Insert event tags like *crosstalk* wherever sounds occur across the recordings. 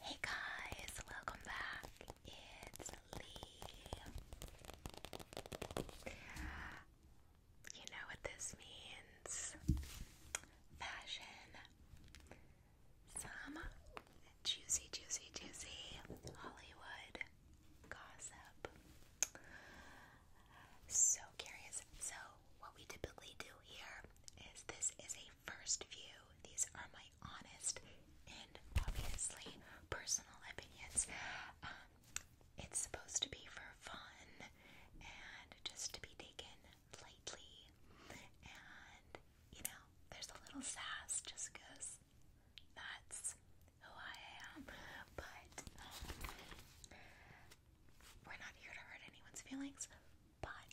Hey guys, welcome back. It's Lee. You know what this means fashion. Some juicy, juicy, juicy Hollywood gossip. So curious. So what we typically do here is this is a first view. These are my honest and obviously personal opinions. Um, it's supposed to be for fun and just to be taken lightly. And, you know, there's a little sass just because that's who I am. But, um, we're not here to hurt anyone's feelings, but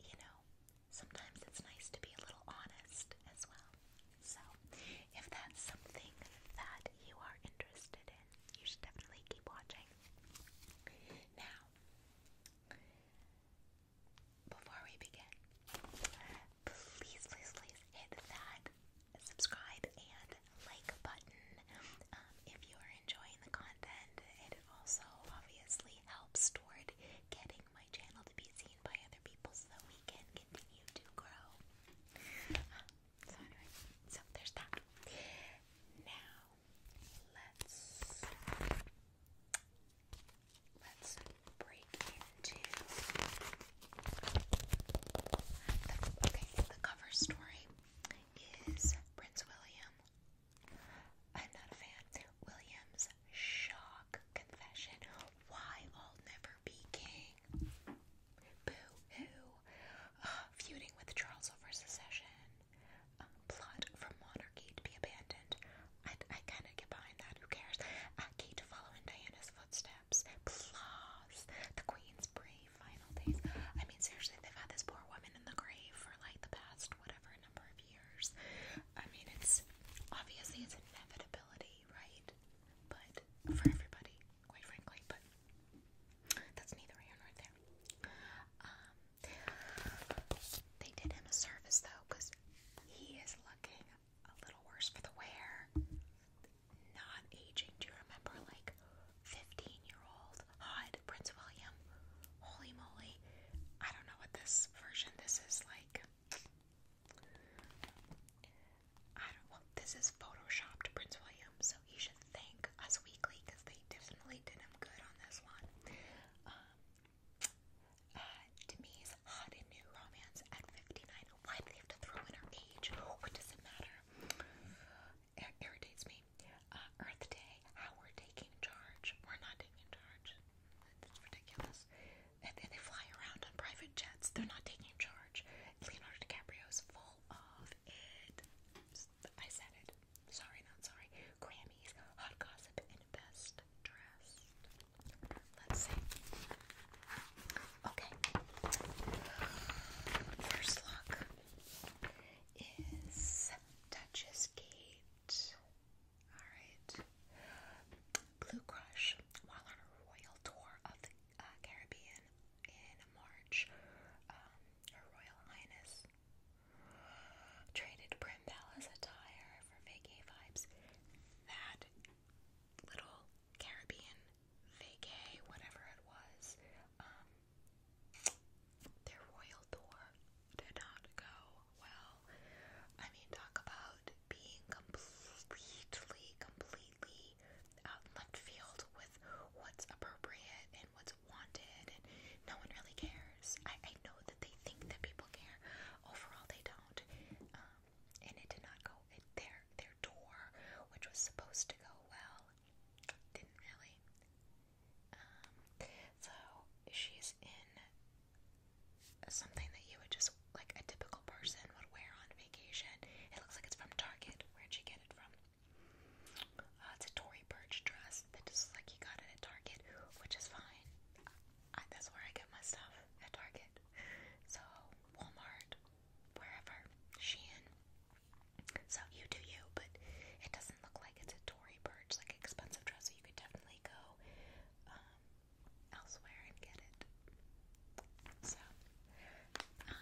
you know, sometimes it's nice to be a little honest as well. So, if that's something that you are interested in, you should definitely keep watching. Now, before we begin, please, please, please hit that subscribe and like button um, if you are enjoying the content it also obviously helps toward getting my channel to be seen by other people so that we can continue to grow. Uh, so, anyway, so there's that. Now, let's. Let's break into the, okay. The cover story is Prince William I'm not a fan. William's shock confession. Why I'll never be king. Boo-hoo. Uh, feuding with Charles over secession. Um, plot for monarchy to be abandoned. I, I kind of get behind that. Who cares? Uh, Kate to following Diana's footsteps. Plus, the Queen's brave final days. I mean, seriously, they've had this poor woman in the grave like the past whatever number of years. I mean, it's obviously it's inevitability, right? But for everybody, quite frankly, but that's neither here nor there. Um, they did him a service though, because he is looking a little worse for the wear. Not aging. Do you remember, like, 15-year-old Hod Prince William. Holy moly. I don't know what this version this is like. I don't well, this is photoshopped Prince William, so you should thank Us Weekly because they definitely did him good on this one. Um, uh, Demi's hot new romance at 59. Why they have to throw in her age? What does it matter? ir irritates me. Uh, Earth Day, how we're taking charge. We're not taking charge. That's ridiculous. And, and they fly around on private jets. They're not taking charge. Leonardo DiCaprio's full of it. I said it. Sorry, not sorry. Grammys, hot gossip, best dressed. Let's see. Okay. First look is Duchess Gate. Alright. Blue Crush, while on a royal tour of the uh, Caribbean in March, um, Her Royal Highness traded Prim attire for vacay vibes. That little Caribbean vacay, whatever it was, um, their royal tour did not go well. I mean, talk about being completely, completely out in left field with what's appropriate and what's wanted, and no one really cares. I, know that they think that people care. Overall, they don't. Um, and it did not go. their their tour, which was supposed to go well, didn't really. Um, so she's in something that you would just like a typical person would wear on vacation. It looks like it's from Target. Where'd she get it from? Uh, it's a Tory Burch dress that just like you got it at Target, which is fine. I, that's where I get my stuff at Target. So Walmart, wherever, Shein. So you do you, but it doesn't look like it's a Tory Burch like expensive dress. So you could definitely go um, elsewhere and get it. So, um,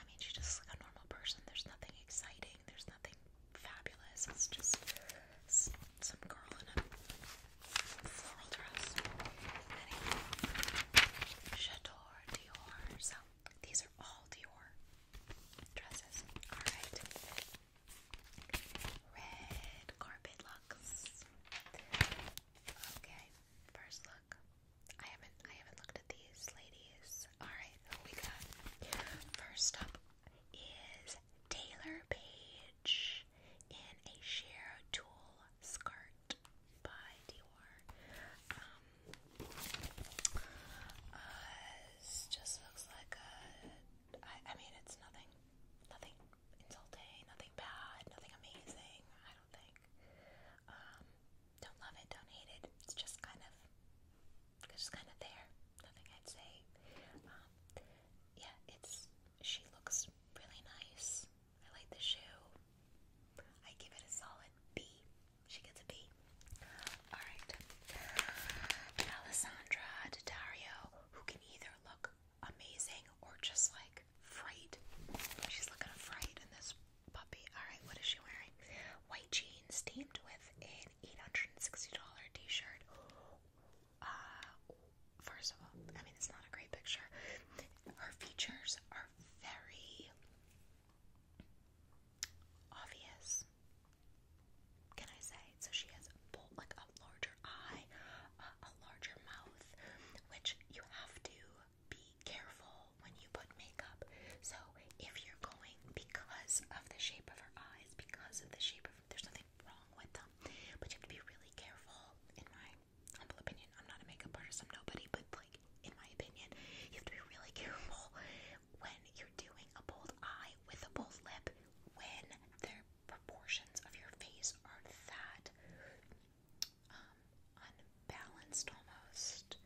I mean, she just looks like a normal person. There's nothing exciting. There's nothing fabulous. It's just some girl in a floral dress. Anyway, Chateau Dior. So these are all Dior dresses. Alright. Red carpet looks. Okay, first look. I haven't I haven't looked at these ladies. Alright, we got? First up is Taylor Page in a sheer tulle skirt by Dior. Um, uh, it just looks like a. I, I mean, it's nothing, nothing insulting, nothing bad, nothing amazing. I don't think. Um, don't love it, don't hate it. It's just kind of, just kind of there. Nothing I'd say. Um, yeah, it's. She looks really nice. I like the shoe. I give it a solid B. She gets a B. Alright. Alessandra Daddario, who can either look amazing or just like fright. She's looking fright in this puppy. Alright, what is she wearing? White jeans teamed with an $860 t shirt. Uh, first of all, I mean, it's not a great picture. Her features are very obvious. Can I say? So she has both, like a larger eye, uh, a larger mouth, which you have to be careful when you put makeup. So if you're going because of the shape of her eyes, because of the shape of there's nothing wrong with them, but you have to be really careful. In my humble opinion, I'm not a makeup artist. I'm nobody, but like in my opinion, you have to be really careful when you're doing a bold eye with a bold lip when the proportions of your face are that um, unbalanced almost.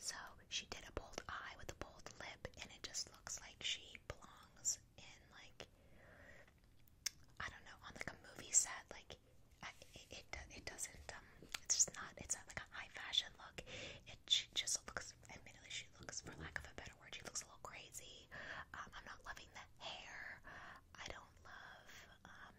So she did a bold eye with a bold lip, and it just looks like she belongs in like I don't know on like a movie set. Like it, it, doesn't um, it's just not it's not like a high fashion look. It she just looks admittedly she looks for lack of a better word, she looks a little crazy. Um, I'm not loving the hair. I don't love um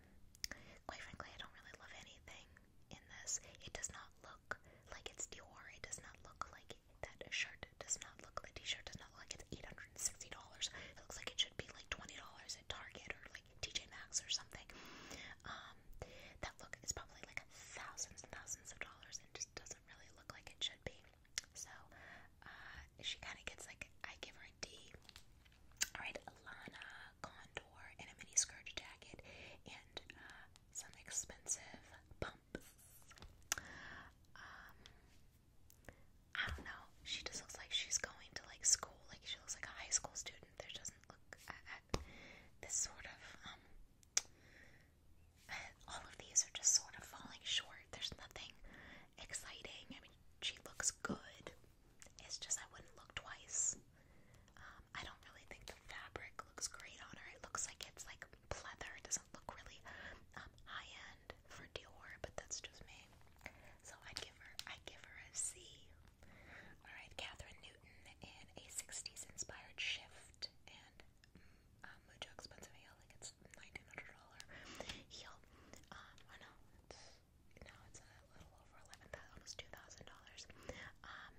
quite frankly I don't really love anything in this. It does not look like it's Dior. It does not look like that shirt does not look the t-shirt does not look like it's eight hundred and sixty dollars. It looks like it should be like twenty dollars at Target or like TJ Maxx or something. Um, that look is probably like thousands and thousands of dollars and just doesn't really look like it should be. So uh, she kind of gets like, I give her a D. Alright, Lana Condor in a mini skirt jacket and uh, some expensive bumps. Um, I don't know. She just looks like she's going to like school. Like she looks like a high school student there doesn't look at, at this sort of um uh, all of these are just sort of falling short. There's nothing exciting. I mean, she looks good. It's just I wouldn't look twice. Um, I don't really think the fabric looks great on her. It looks like it's like pleather. It doesn't look really um, high end for Dior, but that's just me. So I'd give her, I'd give her a C. All right, Catherine and a 60s inspired shift and um, mucho expensive heel, like it's $1,900 heel. Um, I know, it's, it's a little over 11000 almost $2,000. Um,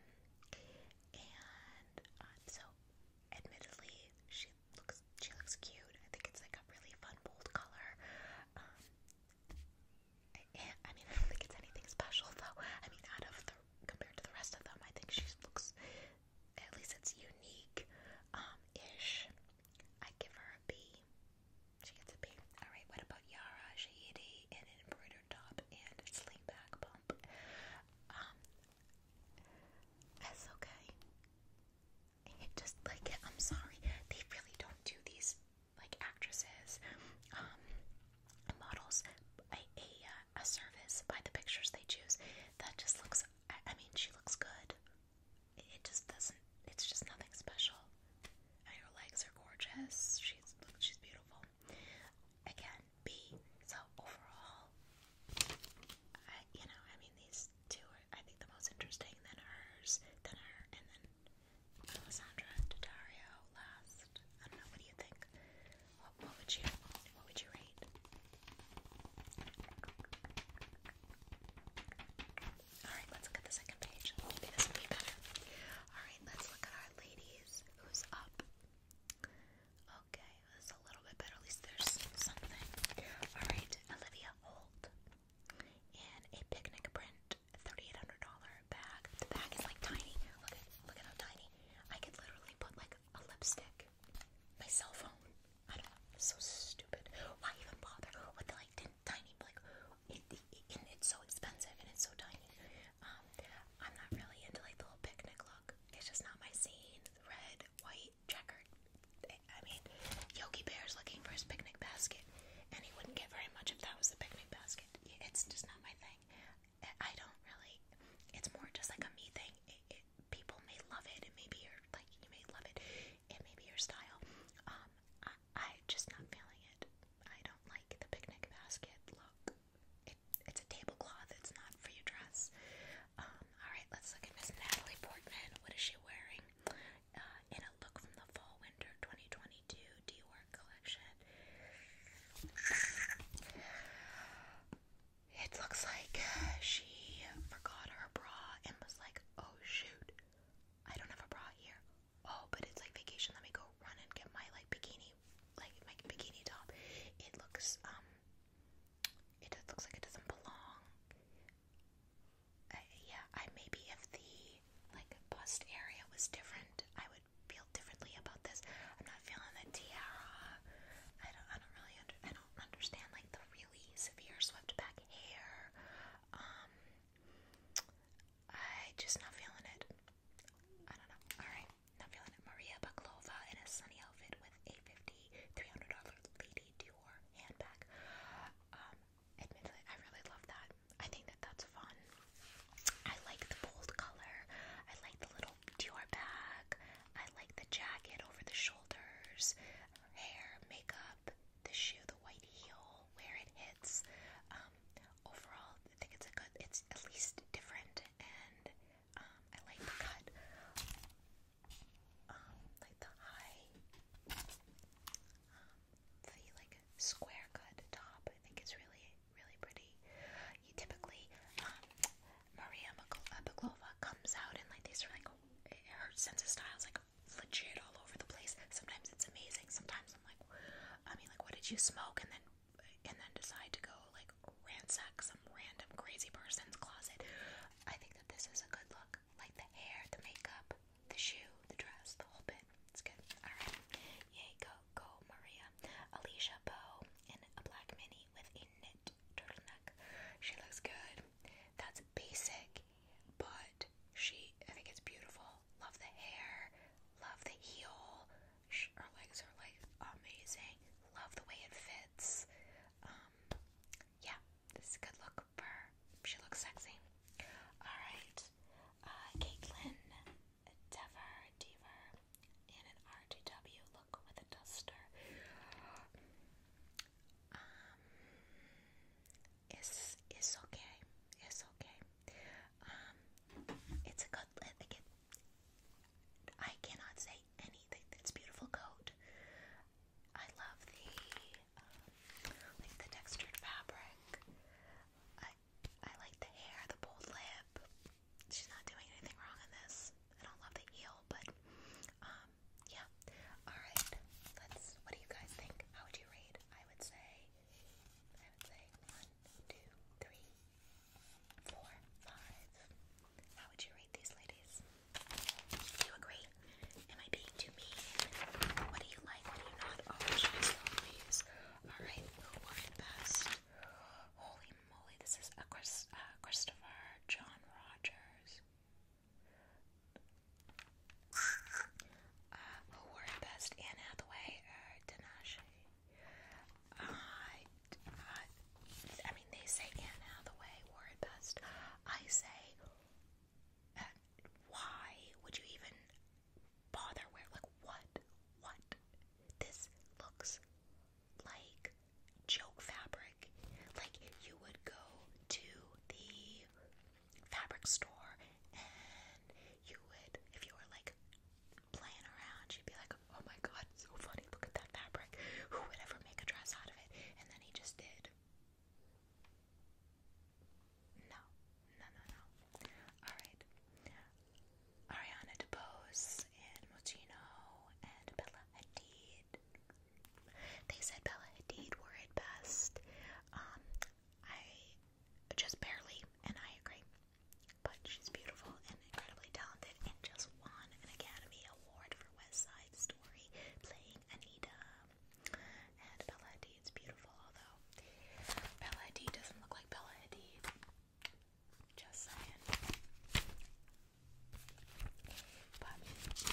and uh, so, admittedly, she looks, she looks cute. I think it's like a really fun bold color. Um, I mean, I don't think it's anything special though. I mean, out of the compared to the rest of them, I think she looks at least it's unique um, ish. I give her a B. She gets a B. All right. What about Yara She Shahidi in an embroidered top and a sling back Um, that's okay. just like I'm sorry, they really don't do these like actresses, um, models, a, a, uh, a service by the pictures they choose. That just looks, I, I mean, she looks good. It, it just doesn't, it's just nothing special. And her legs are gorgeous. She's, look, she's beautiful. Again, B. So overall, I, you know, I mean, these two are, I think, the most interesting. Then hers, then her, and then Alessandra Daddario last. I don't know. What do you think? What, would you What would you rate? All right, let's look the second page. this will be better. All right, let's look at our ladies. Who's up? Okay, that's a little bit better. At least there's something. All right, Olivia Holt in a picnic print. $3,800 bag. The bag is like tiny. Look at, look at how tiny. I could literally put like a lipstick, my cell phone. I don't know. so stupid. Why even bother with like tiny, like, it's so expensive and it's so tiny. Um, I'm not really into like the little picnic look. It's just not my scene. Red, white, checkered. I mean, Yogi Bear's looking for his picnic basket, and he wouldn't get very much if that was the picnic basket basket. It's just not my thing. I don't really. It's more just like a me thing. It, it, people may love it. It may be your like. You may love it. It may be your style. Um, I, I just not feeling it. I don't like the picnic basket look. It, it's a tablecloth. It's not for your dress. Um, all right, let's look at Miss Natalie Portman. What is she wearing? Uh, in a look from the fall winter 2022 Dior collection. It looks like she forgot her bra and was like, oh shoot, I don't have a bra here. Oh, but it's like vacation. Let me go run and get my like bikini, like my bikini top. It looks, um, it looks like it doesn't belong. Uh, yeah, I maybe if the like bust area was different, I would feel differently about this. I'm not feeling the tiara. I don't. I don't really. Under, I don't understand like the really severe swept back hair. Um, I just not feeling it. I don't know. All right, not feeling it. Maria Baklova in a sunny outfit with a fifty, three hundred dollar lady Dior handbag. Um, admittedly, I really love that. I think that that's fun. I like the bold color. I like the little Dior bag. I like the jacket over the shoulders, hair, makeup, the shoe, the white heel, where it hits. Um, overall, I think it's a good. It's at least different, and um, I like the cut. Um, like the high, the like square cut top. I think it's really, really pretty. You typically, um, Maria uh, comes out in like these are like her sense of style is like legit all over the place. Sometimes it's amazing. Sometimes I'm like, I mean, like, what did you smoke? And then, and then decide to go like ransack some random crazy person's closet. I think that this is a good look. Like the hair, the makeup, the shoe, the dress, the whole bit. It's good. Alright. Yay, go, go, Maria. Alicia Bow in a black mini with a knit turtleneck. She looks good. That's basic, but she, I think it's beautiful. Love the hair, love the heel. She, her legs are like amazing. Love the way it fits. Um, yeah, this is a good look for her. She looks sexy. Alright, uh, Dever, Dever, and an RTW look with a duster. Um, it's, it's okay. It's okay. Um, it's a good, again, I cannot say anything. It's beautiful coat. I love the, um, like the textured fabric. I I like the hair, the bold lip. She's not doing anything wrong in this. I don't love the heel, but um yeah. Alright, let's what do you guys think? How would you rate? I would say I would say one, two, three, four, five. How would you rate these ladies? Do you agree? Am I being too mean? What do you like? What do you not? Oh, All right, who won best? Holy moly, this is a uh, Christopher John Rogers. Uh, who won best? Anne Hathaway or Tinashe? Uh, I, uh, I mean, they say Anne Hathaway wore it best. I say, uh, why would you even bother wearing. Like, what? What? This looks like joke fabric. Like, you would go to the fabric store and you would, if you were like playing around, you'd be like, oh my god, so funny, look at that fabric. Who would ever make a dress out of it? And then he just did. No, no, no, no. Alright. Ariana DeBose and Mochino and Bella Hadid. They said Bella Hadid were at best. Um, I just barely, and I agree. But she's beautiful and incredibly talented and just won an Academy Award for West Side Story playing Anita and Bella Hadid's beautiful, although Bella Hadid doesn't look like Bella Hadid. Just saying. But it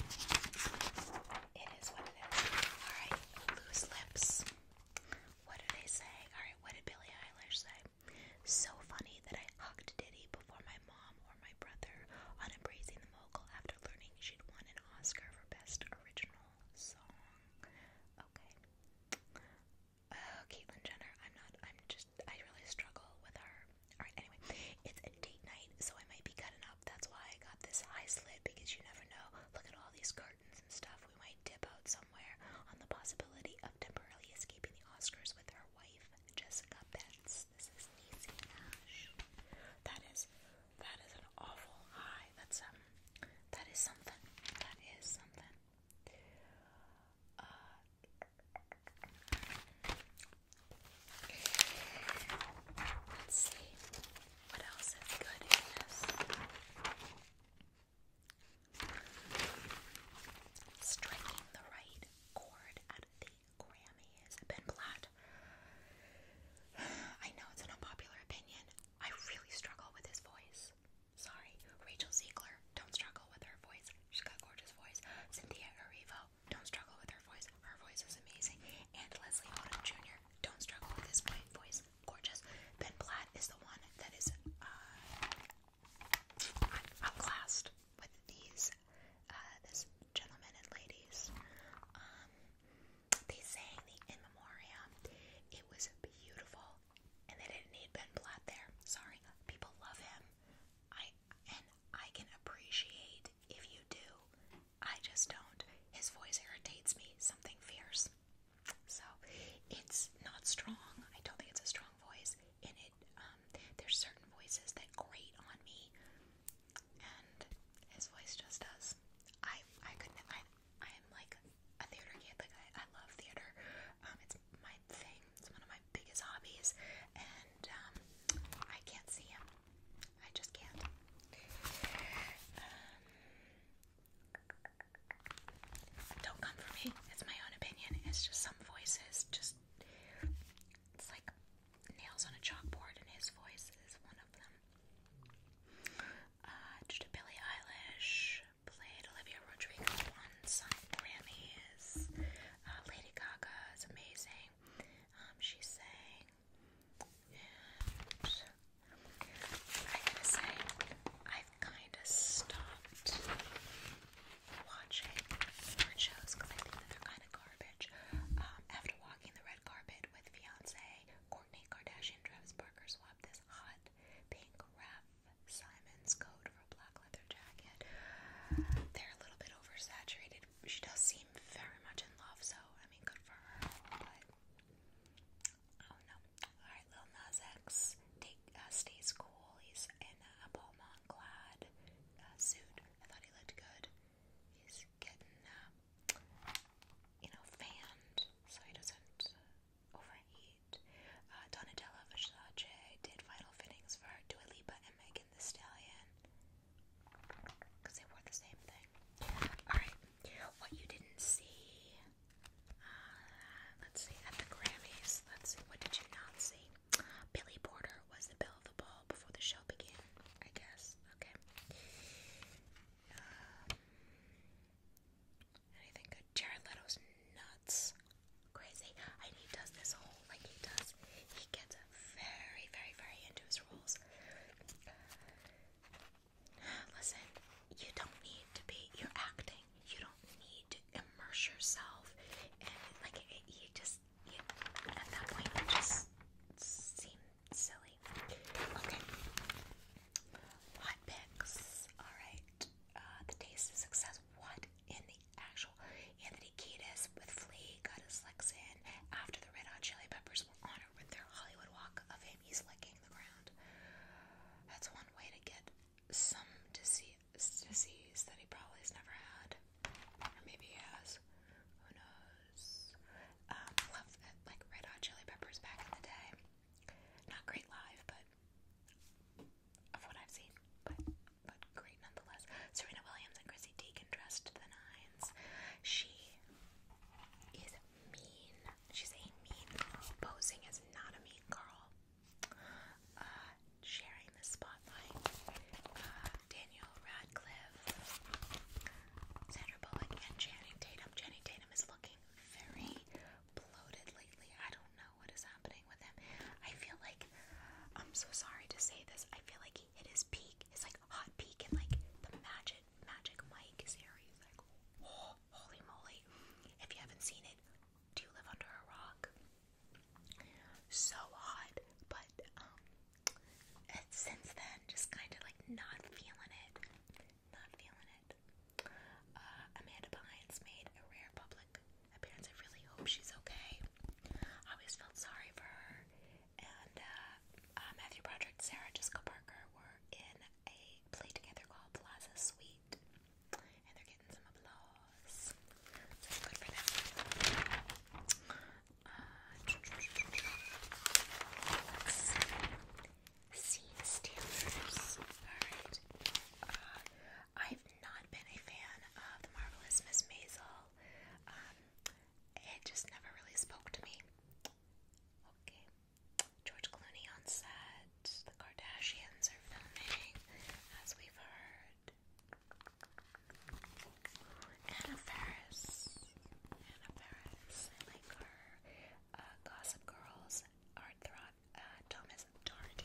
is what it is. Alright, loose lips. What do they say? Alright, what did Billie Eilish say? So funny that I hugged Diddy before my mom or my brother on Embracing the Mogul after learning she'd won an Oscar for Best Original Okay. Oh, Caitlyn Jenner. I'm not. I'm just. I really struggle with her. All right. Anyway, it's date night, so I might be cutting up. That's why I got this high slit because you never know. Look at all these curtains and stuff. We might dip out somewhere on the possibility of temporarily escaping the Oscars with her wife, Jessica Betts. This is Niecy Nash. That is that is an awful high. That's um that is something. That is something. Uh, let's see what else is good in this. Striking the right chord at the Grammys. Ben Platt just *sighs* I know it's an unpopular opinion. I really struggle with his voice. Sorry, Rachel Ziegler, don't struggle with her voice. She's got gorgeous voice. Cynthia Erivo, don't struggle with her voice. Her voice is amazing. And Leslie Odom Jr., don't struggle with his voice. Gorgeous. Ben Platt is the one that is uh, outclassed with these uh, this gentlemen and ladies. Um, they sang the In Memoriam. It was beautiful, and they didn't need Ben Platt there. Sorry, people love him. I and I can appreciate if you do. I just don't. His voice irritates me. Something fierce. So it's not strong. I don't think it's a strong voice. In it, um, there's certain voices that grate on me and his voice just does. I I couldn't. I I am like a theater kid. Like I, I love theater. Um, it's my thing. It's one of my biggest hobbies, and um, I can't see him. I just can't. Um, don't come for me. It's my own opinion. It's just some voices just. It's like nails on a chalkboard, and his voice is one one of uh, Billie Eilish played Olivia Rodrigo once on Grammys. Uh, Lady Gaga is amazing. Um, she sang, I gotta say, I've kind of stopped watching award shows because I think they're kind of garbage. Um, after walking the red carpet with fiance Kourtney Kardashian Travis Barker swapped this hot pink Raf Simons coat for a black leather jacket. They're a little bit oversaturated. She does seem very much in love, so I mean, good for her. oh no! All right, Lil Nas X take, uh, cool. He's in a Balmain clad uh, suit. I thought he looked good. He's getting uh, you know, fanned so he doesn't uh, overheat. Uh, Donatella Versace did vital fittings for Dua Lipa and Megan Thee Stallion because they wore the same thing. Alright, what you didn't see, uh, let's see, at the Grammys, let's see, what did you not see? Billy Porter was the belle of the ball before the show began, I guess. Okay. Uh, anything good? Jared Leto's nuts. Crazy. And he does this whole, like he does, he gets very, very, very into his roles. Listen, you don't need to be, you're acting. You don't need to immerse yourself. And like, you just, at that point, it just seems silly. Okay. Hot picks. Alright. Uh, the taste of success. What in the actual Anthony Kiedis with Flea got his licks in after the Red Hot Chili Peppers were honored with their Hollywood Walk of Fame. He's licking the ground. That's one way to get some disease, disease that he probably has never had. Or maybe he has. Who knows? Um, love it, like Red Hot Chili Peppers back in the day. Not great live, but of what I've seen, but but great nonetheless. Serena Williams and Chrissy Teigen dressed the nines. She is mean. She's a mean girl. Posing is not a mean girl. Uh, sharing the spotlight. Uh, Daniel Radcliffe, Sandra Bullock, and Channing Tatum. Channing Tatum is looking very bloated lately. I don't know what is happening with him. I feel like I'm so sorry to say this. I feel like he hit his peak. It's like hot peak in like the Magic Magic Mike series. Like, holy moly! If you haven't seen it, do you live under a rock? So hot, but um, and since then, just kind of like not feeling it, not feeling it. Uh, Amanda Bynes made a rare public appearance. I really hope she's okay. I always felt sorry for her. And uh, uh, Matthew Broderick, Sarah Jessica Parker were in a play together called Plaza Suite, and they're getting some applause. So good for them. Uh, I've not been a fan of The Marvelous Miss Maisel. Um, it just never really spoke to me. Okay. George Clooney on set. The Kardashians are filming, as we've heard. Anna Faris. Anna Faris. I like her. Uh, Gossip Girls. Art Throck. Uh, Thomas Doherty.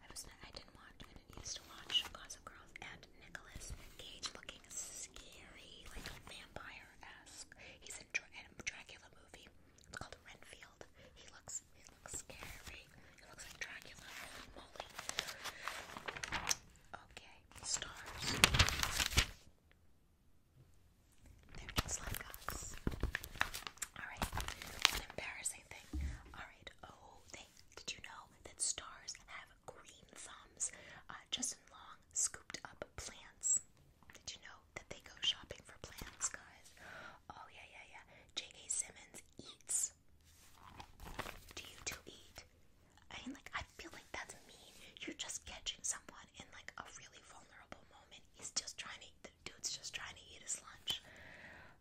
I was I didn't want, I did used to watch Gossip Girls and Nicholas Cage looking scary, like vampire esque. He's in, a Dracula movie. It's called Renfield. He looks he looks scary. He looks like Dracula. Okay, stars. They're just like us. Alright, an thing. Alright, oh, did you know that stars have green thumbs? Uh, Justin Long scooped up plants. Did you know that they go shopping for plants, guys? Oh, yeah, yeah, yeah. J.K. Simmons eats. Do you two eat? I mean, like, I feel like that's mean. You're just catching someone in like a really vulnerable moment. He's just trying to eat, the dude's just trying to eat his lunch.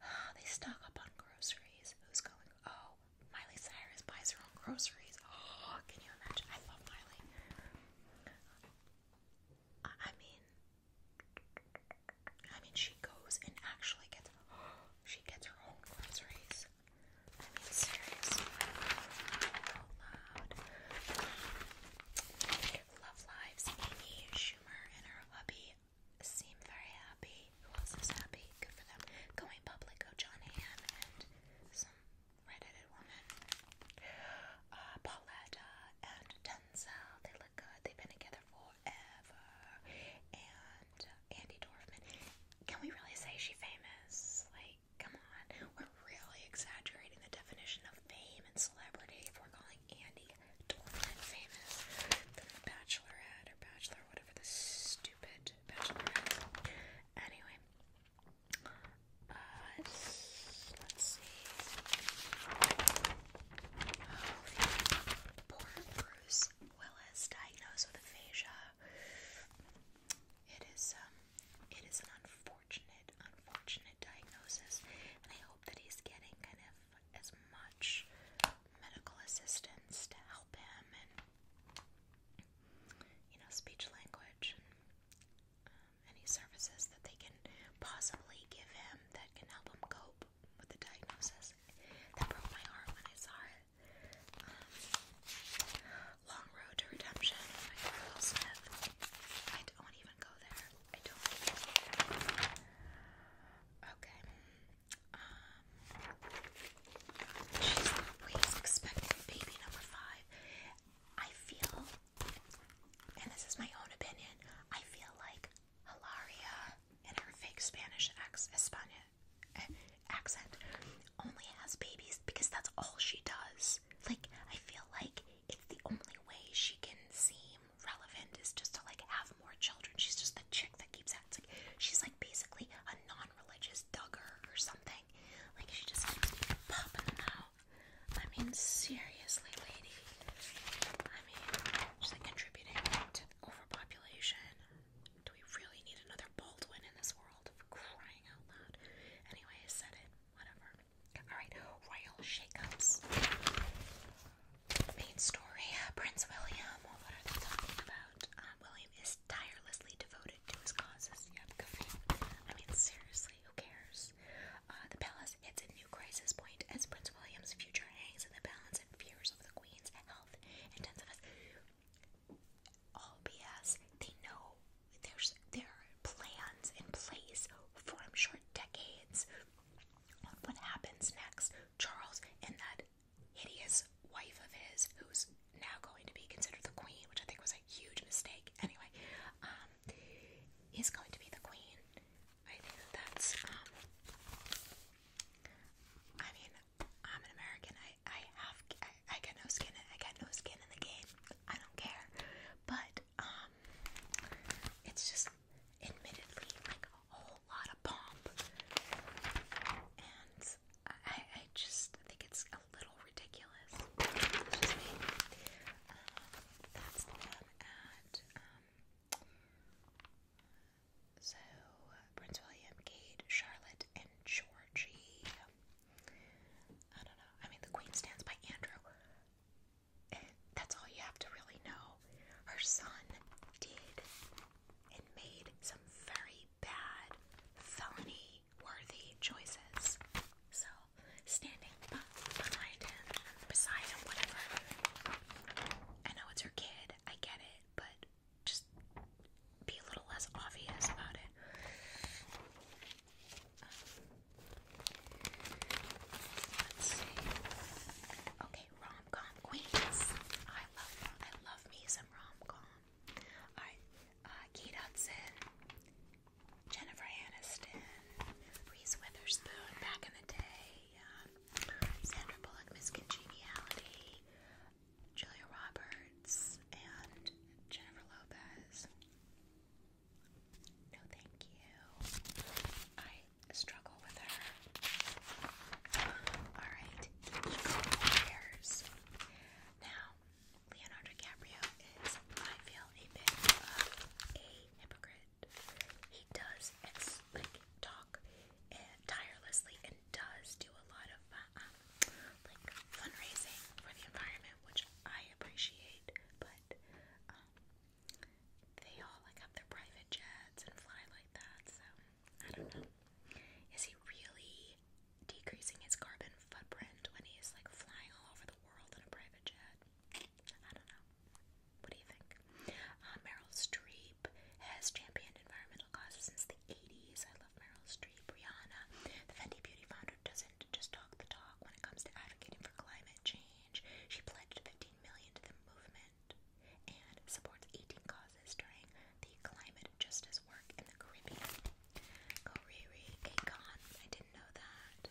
Uh, *sighs* they stock up on groceries. Who's going? Oh, Miley Cyrus buys her own groceries. Oh, *gasps* can you imagine? I love Miley. I mean, I mean, she goes and actually gets, *gasps* she gets her own groceries. I mean, seriously, loud. Love Lives, Amy Schumer and her hubby seem very happy. Who else is happy? Good for them. Going public, oh John Hamm and some redheaded woman. Uh, Pauletta and Denzel, they look good. They've been together forever. And Andy Dorfman. Can we really say she famous? Like, come on. We're really exaggerating the definition of fame and celebrity if we're calling Andy Dorfman famous. Then the Bachelorette or Bachelor, whatever the stupid Bachelorette. Anyway. Uh, let's, let's see. Oh, poor Bruce Willis diagnosed with aphasia. It is um it is an unfortunate, unfortunate diagnosis, and I hope that he's getting kind of as much medical assistance to help him and you know speech language and um, any services that they can possibly give him that can help him cope with the diagnosis. That broke my heart when I saw it. Um, long Road to Redemption oh I don't even go there. I don't Okay. Um, she's baby number five. I feel, and this is my own opinion, I feel like Hilaria in her fake Spanish ex Espana accent only has babies because that's all she does. Like, I feel like it's the only way she can seem relevant is just to like have more children. She's just the chick that keeps at like she's like basically a non-religious dugger or something. Like she just keeps popping them out. I mean, seriously, lady. I mean, she's like contributing to overpopulation. Do we really need another Baldwin in this world? For crying out loud. Anyway, I said it. Whatever. Alright, royal shakeups. Main story Prince William. What are they talking about? Um, William is tirelessly devoted to his causes. Yep, I mean, seriously, who cares? Uh, the palace hits a new crisis point as Prince William's future hangs in the balance and fears of the Queen's health intensifies all They know there's their plans in place for I'm decades what happens next. Charles and that hideous wife of his, who's now going to be considered the queen, which I think was a huge mistake. Anyway, um, is going to be the queen. I think that's. Um, I mean, I'm an American. I have I, got no skin in I got no skin in the game. I don't care. But um it's just admittedly like a whole lot of pomp. And I I just think it's a little ridiculous. Uh, that's the one um, so, Prince William, Kate, Charlotte, and Georgie. I don't know. I mean, the Queen stands by Andrew. And that's all you have to really know. Her son did and made some very bad, felony worthy choices. So, standing behind him, beside him, whatever. I know it's her kid, I get it, but just be a little less obvious about it. Um, okay, rom com queens. I love I love me some rom com. Alright, uh Jennifer Aniston, Reese Witherspoon back in the day, um, Sandra Bullock, Miss Congeniality, Julia Roberts and Jennifer Lopez. No, thank you. I struggle with her. Alright, the Eco Warriors. Now, Leonardo DiCaprio is, I feel, a bit of a hypocrite. He does, ex like, talk tirelessly and does do a lot of uh, um, like fundraising for the environment, which I appreciate. But um, they all like have their private jets and fly like that, so I don't know. Is he really decreasing his carbon footprint when he's like flying all over the world in a private jet? I don't know. What do you think? Uh, Meryl Streep has championed environmental causes since the 80s. I love Meryl Streep, Rihanna. The Fendi Beauty founder doesn't just talk the talk when it comes to advocating for climate change. She pledged 15 million to the movement and supports 18 causes during the climate justice work in the Caribbean. Goriri Akon, I didn't know that.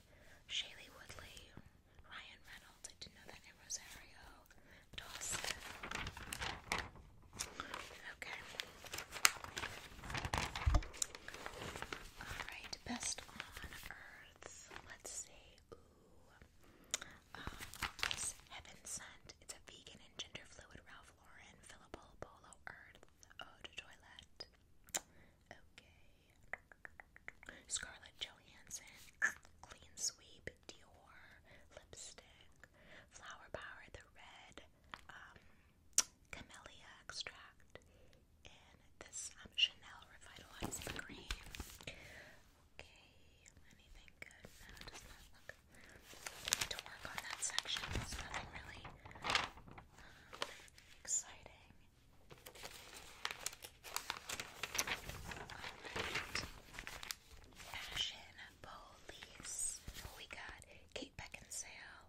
Shaylee Woodley, Ryan Reynolds, I didn't know that. Rosario Dawson. Okay. best on earth. Let's see. Um, heaven Sent. It's a vegan and gender fluid Ralph Lauren Philippa Polo Earth Eau de Okay. Scarlett Johansson. Clean Sweep. Dior lipstick, Flower Power, the red um, camellia extract, and this um, Chanel Revitalizer cream. Okay, anything good? No, it does not look. to work on that section. nothing really um, exciting. Alright. Fashion Police. we got Kate Beckinsale.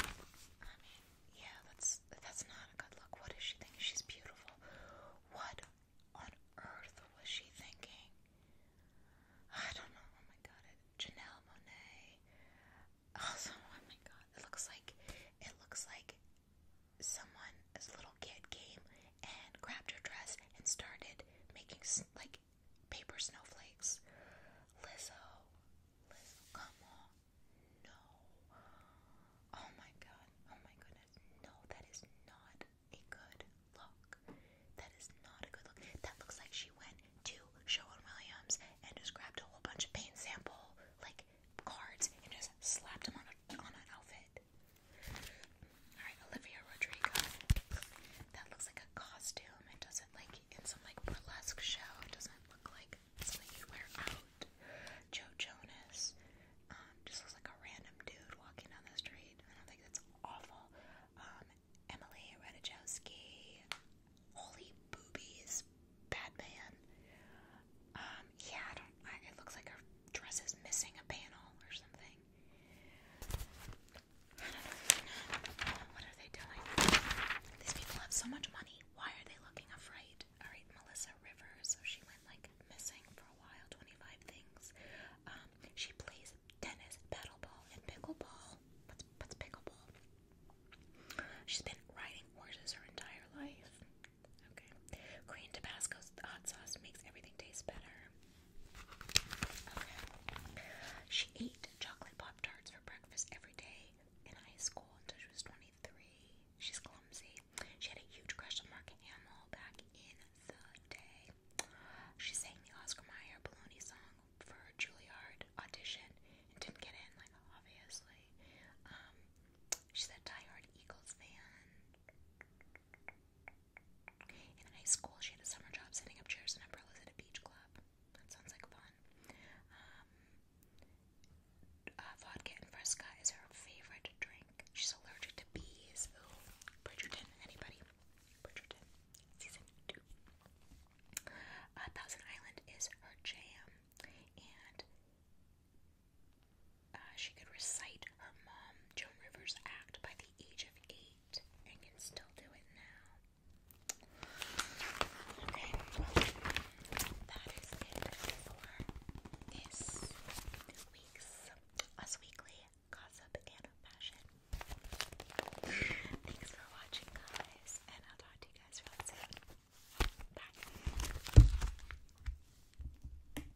I mean, yeah, that's that's not a good look. What does she think? She's beautiful. What on earth was she thinking? I don't know. Oh my god, Janelle Monet. Also, oh, oh my god, it looks like it looks like someone this little kid came and grabbed her dress and started making like paper snowflakes. Lizzo, Lizzo, come on. No. Oh my god. Oh my goodness. No, that is not a good look. That is not a good look. That looks like she went to Sean Williams and just grabbed a whole bunch of paint sample like cards and just slapped them on a, on an outfit. Alright, Olivia Rodrigo. That looks like a costume. It doesn't like in some like burlesque show. It doesn't look like something you wear out. Joe Jonas. Um, just looks like a random dude walking down the street. I don't think that's awful. Um, Emily Ratajkowski. Holy boobies. Batman. Um, yeah, I don't. I, it looks like her dress is missing a panel or something. What are they doing? These people have so much money. Why are they looking afraid? Alright, Melissa Rivers. So she went like missing for a while, 25 things. Um, she plays tennis, paddle ball, and pickleball. What's, what's pickleball? She's been riding horses her entire life. Okay. Green Tabasco's hot sauce makes everything taste better. She ate chocolate Pop Tarts for breakfast every day in high school until she was 23. She's clumsy. She had a huge crush on Mark Hamill back in the day. She sang the Oscar Mayer Baloney song for her Juilliard audition and didn't get in, like, obviously. Um, she's a diehard Eagles fan. In high school, she had a summer job setting up chairs and umbrellas at a beach club. That sounds like fun. Um, uh, vodka and fresca is her favorite drink. She's allergic to bees. Bridgerton, anybody? Bridgerton, season two. Uh, Thousand Island is her jam, and uh, she could recite her mom, Joan Rivers' act by the age of eight and can still do it now. Okay, that is it for this week's Us Weekly Gossip and Fashion. Thanks for watching, guys, and I'll talk to you guys real soon. Bye.